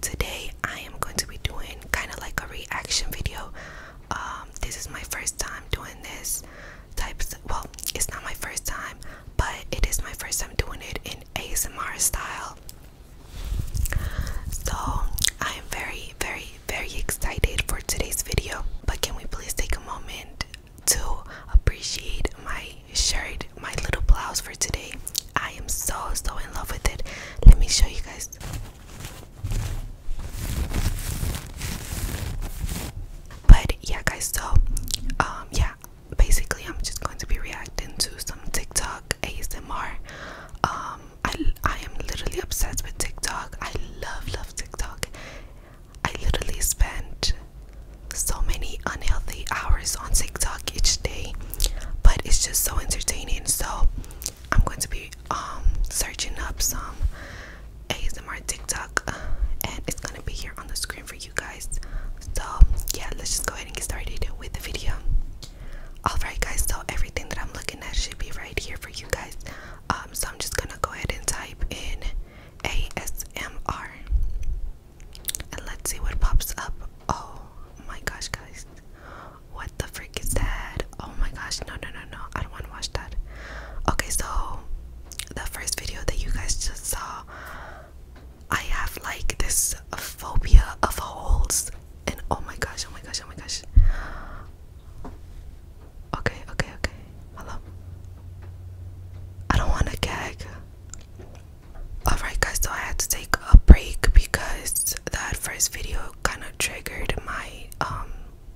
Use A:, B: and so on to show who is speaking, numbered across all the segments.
A: today I am going to be doing kind of like a reaction video. Um, this is my first time doing this type. well, it's not my first time, but it is my first time doing it in ASMR style. So I am very, very, very excited for today's video. But can we please take a moment to appreciate my shirt, my little blouse for today? I am so so in love with it. Let me show you guys but yeah, guys. So um, yeah, basically, I'm just going to be reacting to some TikTok ASMR. Um, I I am literally obsessed with TikTok. I love love TikTok. I literally spent so many unhealthy hours on TikTok each day, but it's just so entertaining. So I'm going to be um, searching up some ASMR TikTok and it's gonna be here on the screen for you guys. So yeah, let's just go ahead and get started with the video. Alright guys, so everything that I'm looking at should be right here for you guys. Um, so I'm just gonna go ahead and type in ASMR and let's see what pops up. Oh my gosh guys. What the freak is that? Oh my gosh, no, no, no, no. I don't want to watch that. Okay, so the first video that you guys just saw, I have like this phobia of holes. And oh my gosh, oh my gosh, oh my gosh. Okay, okay, okay. Hello. I don't want to gag. Alright, guys, so I had to take a break because that first video kind of triggered my um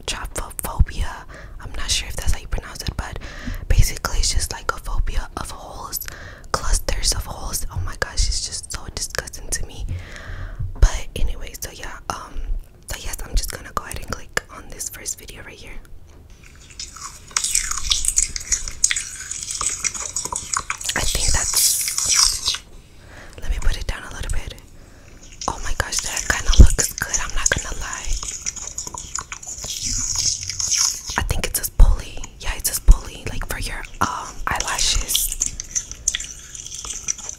A: trophophobia. I'm not sure if that's how you pronounce it, but basically, it's just like a phobia of holes, clusters of holes. Oh my gosh, it's just so disgusting to me. But anyway, so yeah, um, so yes, I'm just gonna go ahead and click on this first video right here. I think that's. Let me put it down a little bit. Oh my gosh, that kind of looks good. I'm not gonna lie. I think it's a pulley. Yeah, it's a pulley, like for your um eyelashes.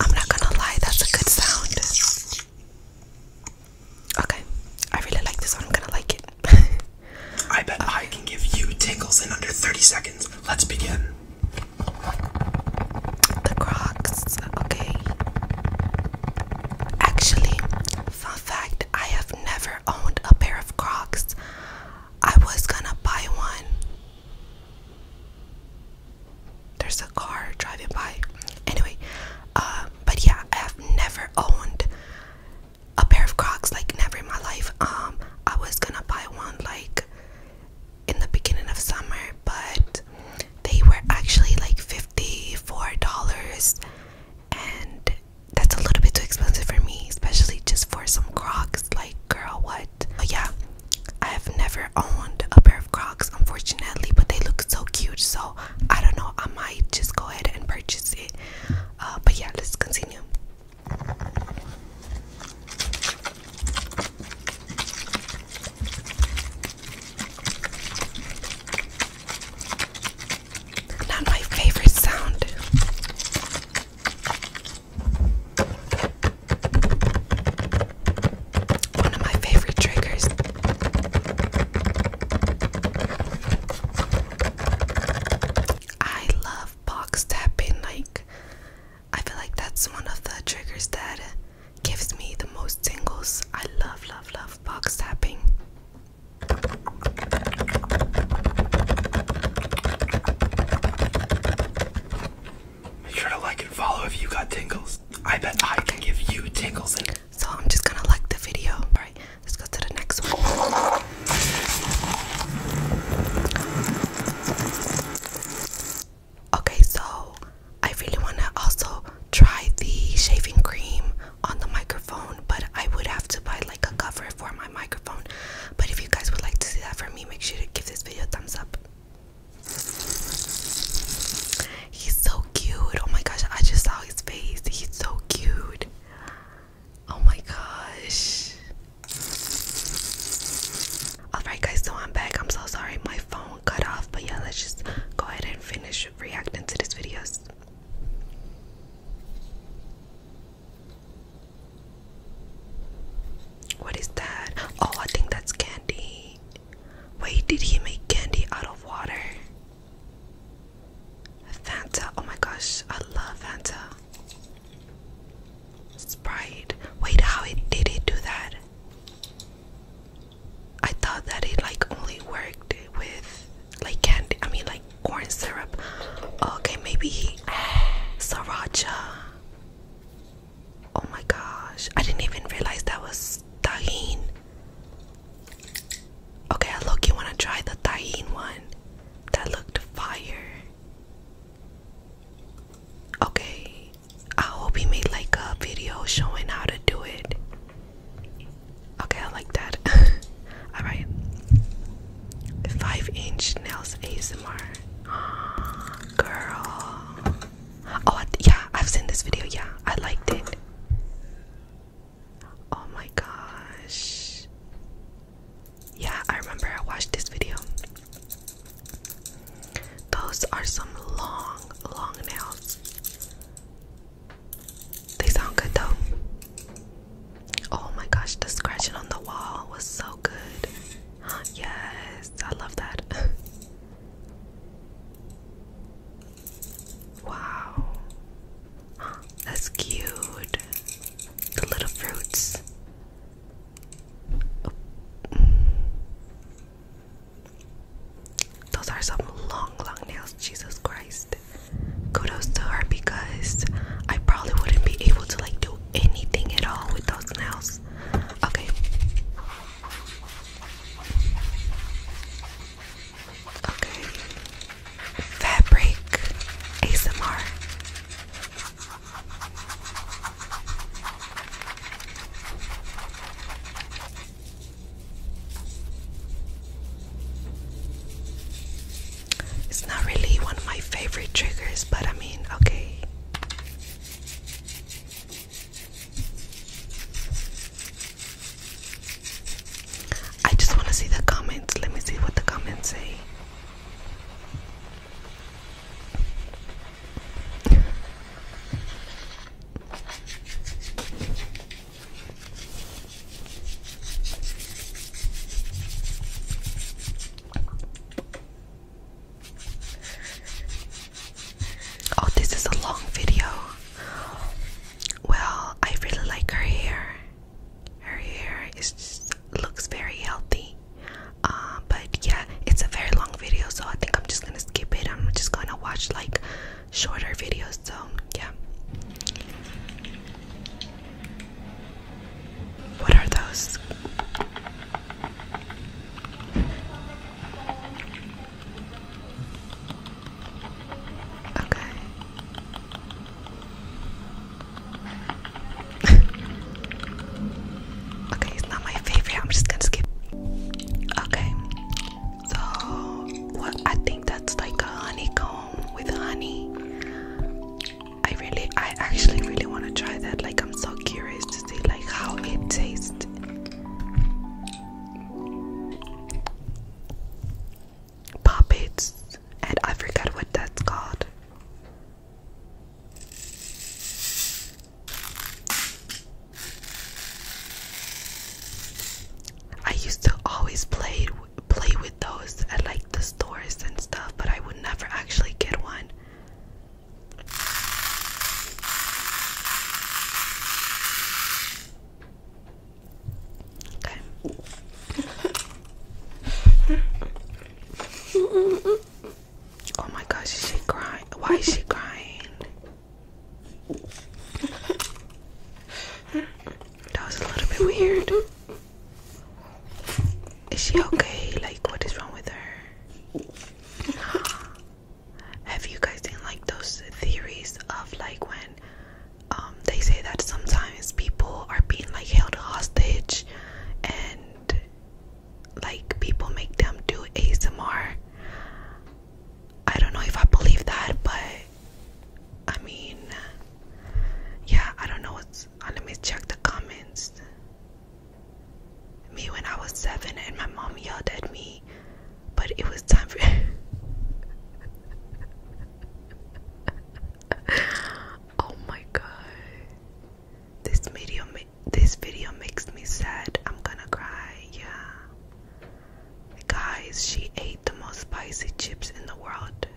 A: I'm not gonna lie, that's a good sound. Okay, I really like this one. I'm gonna like it. I bet I can give you tingles in under 30 seconds. Let's begin. The Crocs, okay. Actually, fun fact I have never owned a pair of Crocs. I was gonna buy one. There's a car driving by. Anyway, uh, but yeah, I have never owned a pair of Crocs, like never in my life. Um, I was gonna buy one like in the beginning of summer, but they were actually like $54 and that's a little bit too expensive for me, especially just for some Crocs. Like, girl, what? But yeah, I have never owned a pair of Crocs, unfortunately, but they look so cute. So I don't know. I might just go ahead and purchase it. Uh, but yeah, let's continue. Not my favorite sound. One of my favorite triggers. I love box tapping. Like, I feel like that's one of the triggers that gives me the most tingles. I love, love, love box tapping. Make sure to like and follow if you got tingles. I bet I can give you tingles. So I'm just gonna like the video. All right. Let's go to the next one. Okay, so I really want to also try the shaving cream on the microphone, but I would have to buy like a cover for my microphone. But if you guys would like to see that from me, make sure to give this video a thumbs up. He's so cute. Oh my gosh, I just saw his face. He's so cute. Oh my gosh. Alright, guys, so I'm back. I'm so sorry my phone cut off, but yeah, let's just go ahead and finish reacting to these videos. What is that? Oh, I think that's candy. Wait, did he make candy out of water? Fanta. Oh my gosh, I love Fanta. Sprite. Wait, how did it do that? I thought that it like only worked with like candy. I mean, like corn syrup. Okay, maybe sriracha. Oh my gosh, I didn't even realize that was tahin. Okay, I look you wanna try the Thaiin one. That looked fire. Okay. I hope he made like a video showing how to do it. Okay, I like that. Alright. Five inch nails ASMR. Girl. Oh, yeah, I've seen this video. Yeah, I liked it. Oh my gosh. Yeah, I remember I watched this video. Those are some long, long nails. They sound good though. Oh my gosh, the scratching on the wall was so good. Yes, I love that. Wow. That's cute. The little fruits. Those are some long, long nails. Jesus Christ. Kudos to her because I probably wouldn't be able to like do anything at all with those nails. Okay. Okay. Fabric ASMR. It's not really one of my favorite triggers, but I mean, okay. I just want to see the comments. Let me see what the comments say. Oh, this is a long video. Well, I really like her hair. Her hair is looks very healthy. Uh, but yeah, it's a very long video, so I think I'm just gonna skip it. I'm just gonna watch like shorter videos. So yeah. What are those? Okay. okay, it's not my favorite. I'm just gonna skip. Okay. So what I think that's like a honeycomb with honey. I really I actually really wanna try that. Like I'm so curious to see like how it tastes. Puppets, and I forget what that's called. I used to always play play with those at like the stores and stuff, but I would never actually get one. Oh my gosh, is she crying? Why is she crying? That was a little bit weird. Is she okay? Like, what is wrong with her? have you guys seen like those theories of like when um, they say that sometimes people are being like held hostage and like people make them do ASMR? I don't know if I believe that, but I mean, yeah, I don't know what's. Uh, let me check the comments. Me when I was seven and my mom yelled at me but it was time for. oh my god! This video, this video makes me sad. I'm gonna cry. Yeah, guys, she ate the most spicy chips in the world.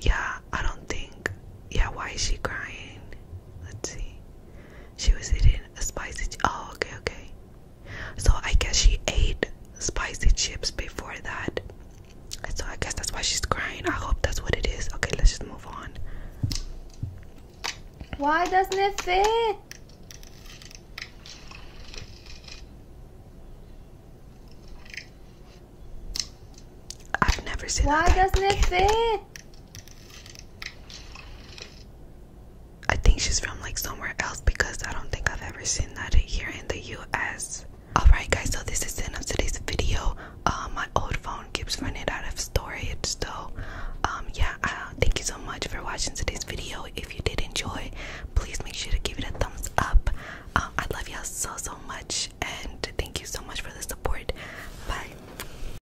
A: Yeah, I don't think. Yeah, why is she crying? Let's see. She was eating spicy. Oh, okay, okay. So I guess she ate spicy chips before that. So I guess that's why she's crying. I hope that's what it is. Okay, let's just move on. Why doesn't it fit? I've never seen Why doesn't it fit? I think she's from like somewhere else because I don't think I've ever seen that here in the US. Alright guys, so this is the end of today's video. Uh, my old phone keeps running out of storage, so um, yeah, uh, thank you so much for watching today's video. If you did enjoy, please make sure to give it a thumbs up. Um, I love y'all so so much, and thank you so much for the support. Bye.